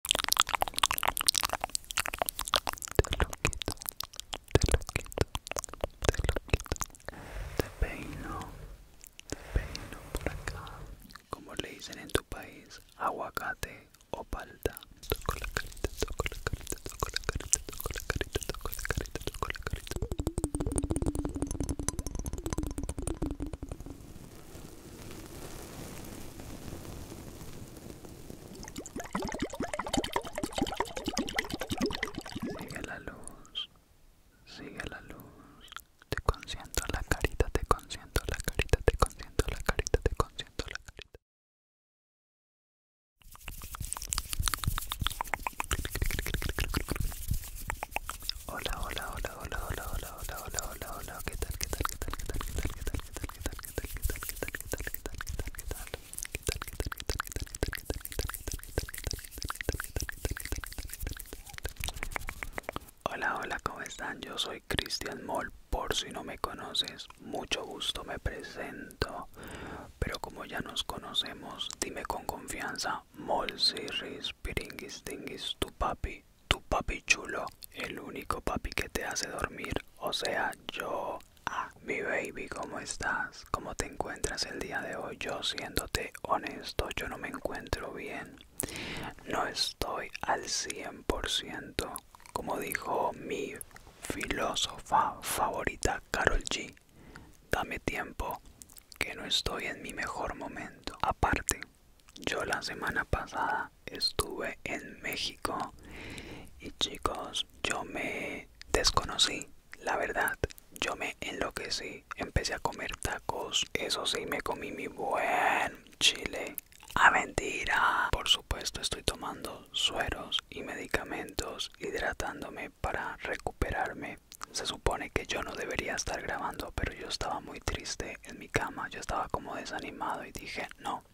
Te lo quito, te lo quito, te lo quito. Te peino, te peino por acá. Como le dicen en tu país, aguacate o palta. Toco la carita, toco la carita, toco la carita, toco la carita, toco la carita, toco la carita. Sigue la luz, sigue la luz. Te consiento la carita, te consiento la carita, te consiento la carita, te consiento la carita. Hola, hola, hola, hola, hola, hola, hola, hola, hola, hola. ¿Qué tal? ¿Qué tal? ¿Qué tal? ¿Qué tal? ¿Qué tal? ¿Qué tal? ¿Qué tal? Hola, hola, ¿cómo están? Yo soy Cristian Moll, por si no me conoces, mucho gusto me presento, pero como ya nos conocemos, dime con confianza, Moll Sirris, Piringuis, Tinguis, tu papi, tu papi chulo, el único papi que te hace dormir, o sea, yo. a mi baby, ¿cómo estás? ¿Cómo te encuentras el día de hoy? Yo siéndote honesto, yo no me encuentro bien. No estoy al 100%, como dijo mi filósofa favorita Carol G. Dame tiempo, que no estoy en mi mejor momento. Aparte, yo la semana pasada estuve en México y chicos, yo me desconocí, la verdad. Yo me enloquecí, empecé a comer tacos, eso sí, me comí mi buen chile. ¡A ah, mentira! Por supuesto, estoy tomando sueros y medicamentos, hidratándome para recuperarme. Se supone que yo no debería estar grabando, pero yo estaba muy triste en mi cama, yo estaba como desanimado y dije, no,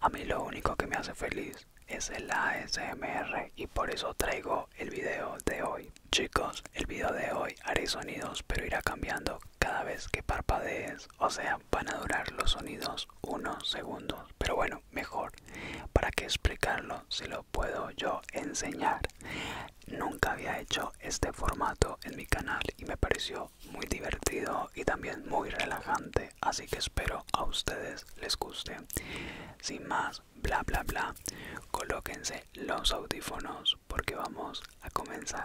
a mí lo único que me hace feliz es el ASMR y por eso traigo el video de hoy. Chicos, el video de hoy haré sonidos pero irá cambiando cada vez que parpadees, o sea, van a durar los sonidos unos segundos. Pero bueno, mejor, ¿para que explicarlo si lo puedo yo enseñar? Nunca había hecho este formato en mi canal y me pareció muy divertido y también muy relajante así que espero a ustedes les guste sin más bla bla bla colóquense los audífonos porque vamos a comenzar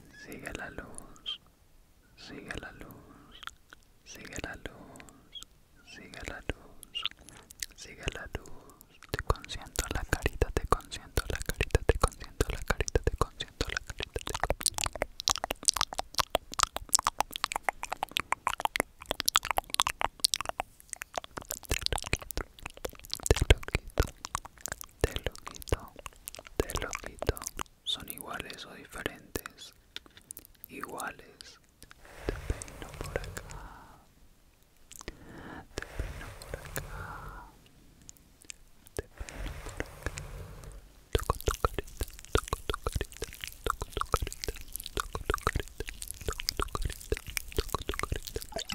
Sigue la luz, sigue la luz, sigue la luz, sigue la luz, sigue la luz. Te consiento la carita, te consiento la carita, te consiento la carita, te consiento la carita. Te te lo quito, te lo quito. Son iguales o diferentes. Iguales. Te peino por acá. Te peino por acá. Te peino por acá. Toco tu carita, toco tu carita, toco tu carita, toco tu carita, toco tu carita, toco tu carita.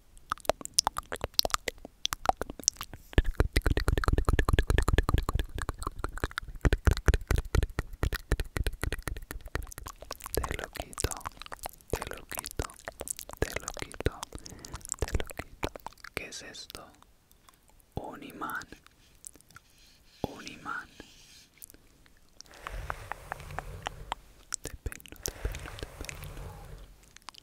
Te lo quito, te lo quito, te lo quito, te lo quito. ¿Qué es esto? Un imán, un imán. Te peino, te peino, te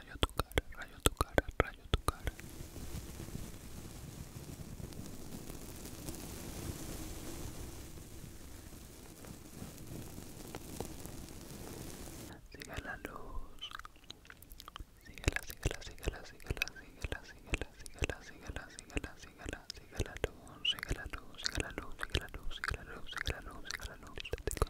rayo tu cara, rayo tu cara, rayo tu cara. Sigue la luz. la sigue la sigue la sigue la sigue la sigue la sigue la sigue la sigue la la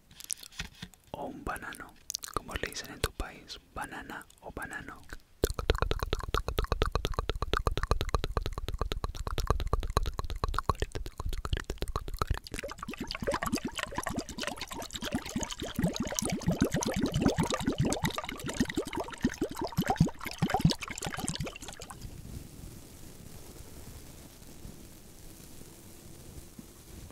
o un banano, como le dicen en tu país, banana o banano.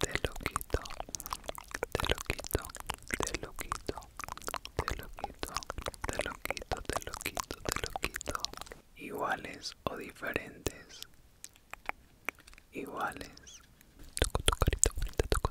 te lo quito, te lo quito, te lo quito, te lo quito, te lo quito, te lo quito, te lo quito. Iguales o diferentes. Iguales. Toco tu carita bonita,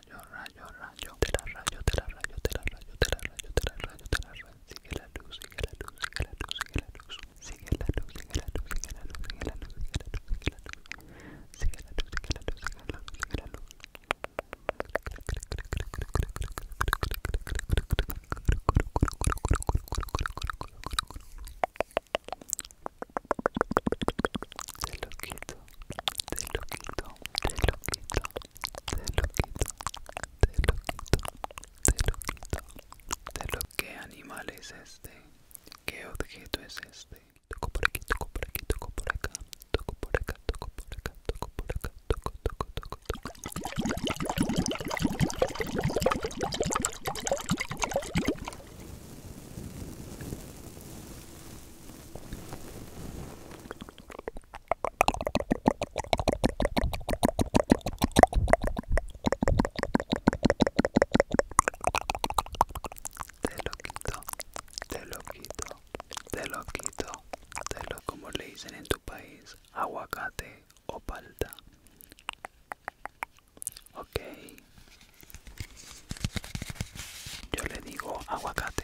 rayo, rayo, rayo, te la rayo, te la rayo, te la rayo, rayo, la rayo, rayo, la rayo, rayo, la rayo, sigue la luz, sigue la luz, sigue la luz, sigue la luz, sigue la luz, sigue la luz, sigue la luz, sigue la luz, sigue la luz, sigue la luz, sigue la luz, rayo, te lo quito te lo quito, te lo quito, te lo quito, te lo ¿Qué animal es este, qué objeto es este, toco por aquí, toco por aquí, toco por acá, toco por acá, toco por acá, toco por acá, toco, toco, toco, toco. Te lo quito, te lo quito, te lo quito, te lo como le dicen en tu país, aguacate o palta. Ok. Yo le digo aguacate.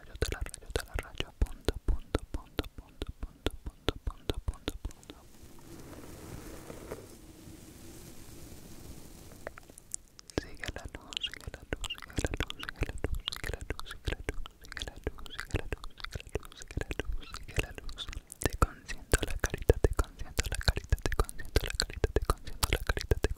la la rayo, punto, punto, punto, punto, punto, punto, punto, punto, punto. Sigue la luz, luz, luz, luz, luz, luz, luz, luz, Te consiento la carita, te consiento la carita, te consiento la carita, te consiento la carita, te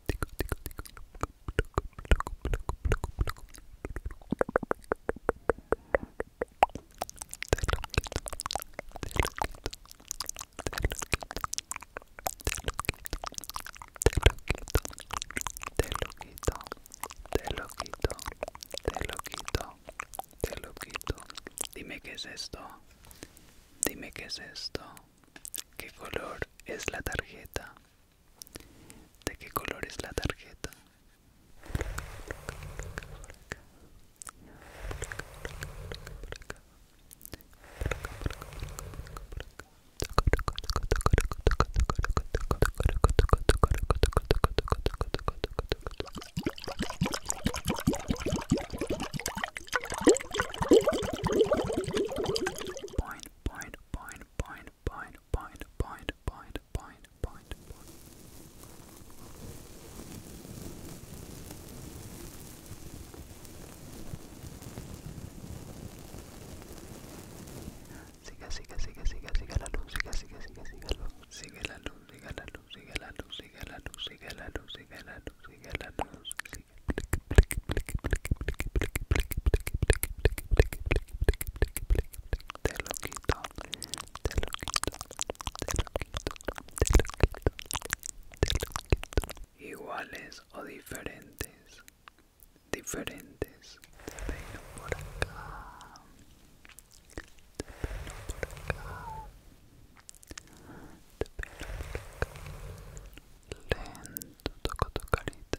Te lo quito, te lo quito, te lo quito, te lo quito, te lo quito, te lo quito, te lo quito, te lo quito, te lo Dime qué es esto. Dime qué es esto. ¿Qué color es la tarjeta? ¿De qué color es la tarjeta? Point, bind, bind, bind, bind, bind, bind, bind. Sigue, sigue, sigue, sigue, la luz, sigue, sigue, sigue, sigue la luz, sigue la luz, sigue la luz, sigue la luz, sigue la luz, sigue la luz, sigue la luz, sigue la luz, sigue. te lo quito, Iguales o diferentes, diferentes. Te peino por acá, te por acá, por Lento toco tu carita.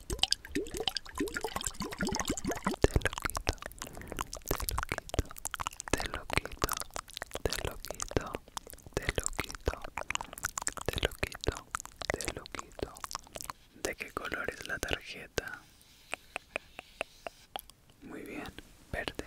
te lo quito, te lo quito, te lo quito, te lo quito, te lo quito. te te lo lo quito, quito, ¿De qué color es la tarjeta? Muy bien, verde.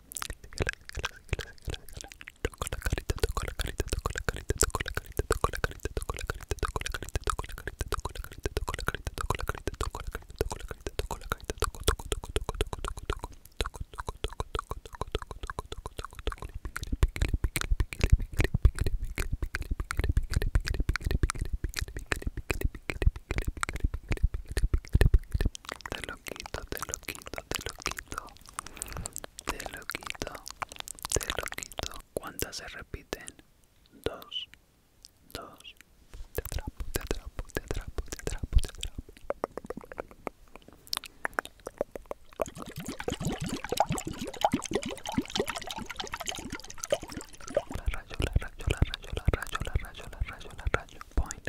Síguela, síguela, síguela, síguela, Toco la carita, la carita, la carita, la carita, la carita, la carita, la carita, la carita, la carita, la carita, la la carita, la carita, la carita, toco, toco, toco, te lo quito, te lo quito, te lo quito. Te lo quito, te lo quito. ¿Cuántas se repiten? Dos, dos. Te te te La rayo, la rayo, la rayo, la rayo, Point,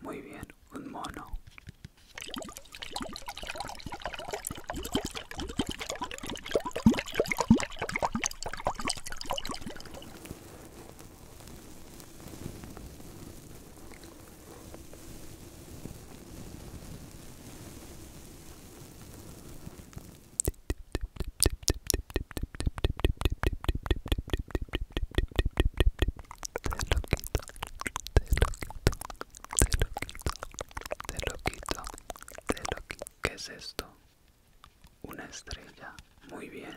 Muy bien, un mono te lo quito, te lo quito. ¿Qué es esto? Una estrella, muy bien.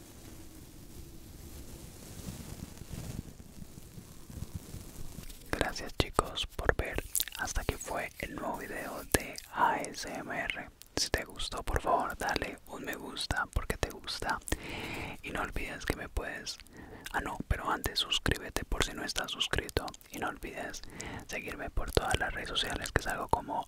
Gracias chicos por ver. Hasta aquí fue el nuevo video de ASMR. Si te gustó por favor dale un me gusta porque te gusta. Y no olvides que me puedes... Ah no, pero antes suscríbete por si no estás suscrito. Y no olvides seguirme por todas las redes sociales que salgo como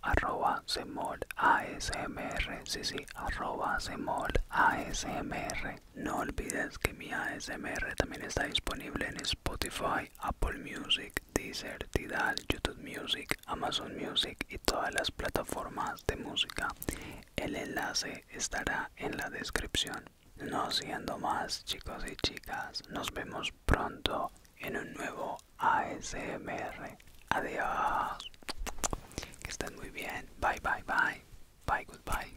ASMR, sí, sí, arroba ASMR. No olvides que mi ASMR también está disponible en Spotify, Apple Music, Deezer, YouTube Music, Amazon Music y todas las plataformas de música. El enlace estará en la descripción. No siendo más chicos y chicas, nos vemos pronto en un nuevo ASMR. Adiós. Que estén muy bien. Bye, bye, bye. Bye, goodbye.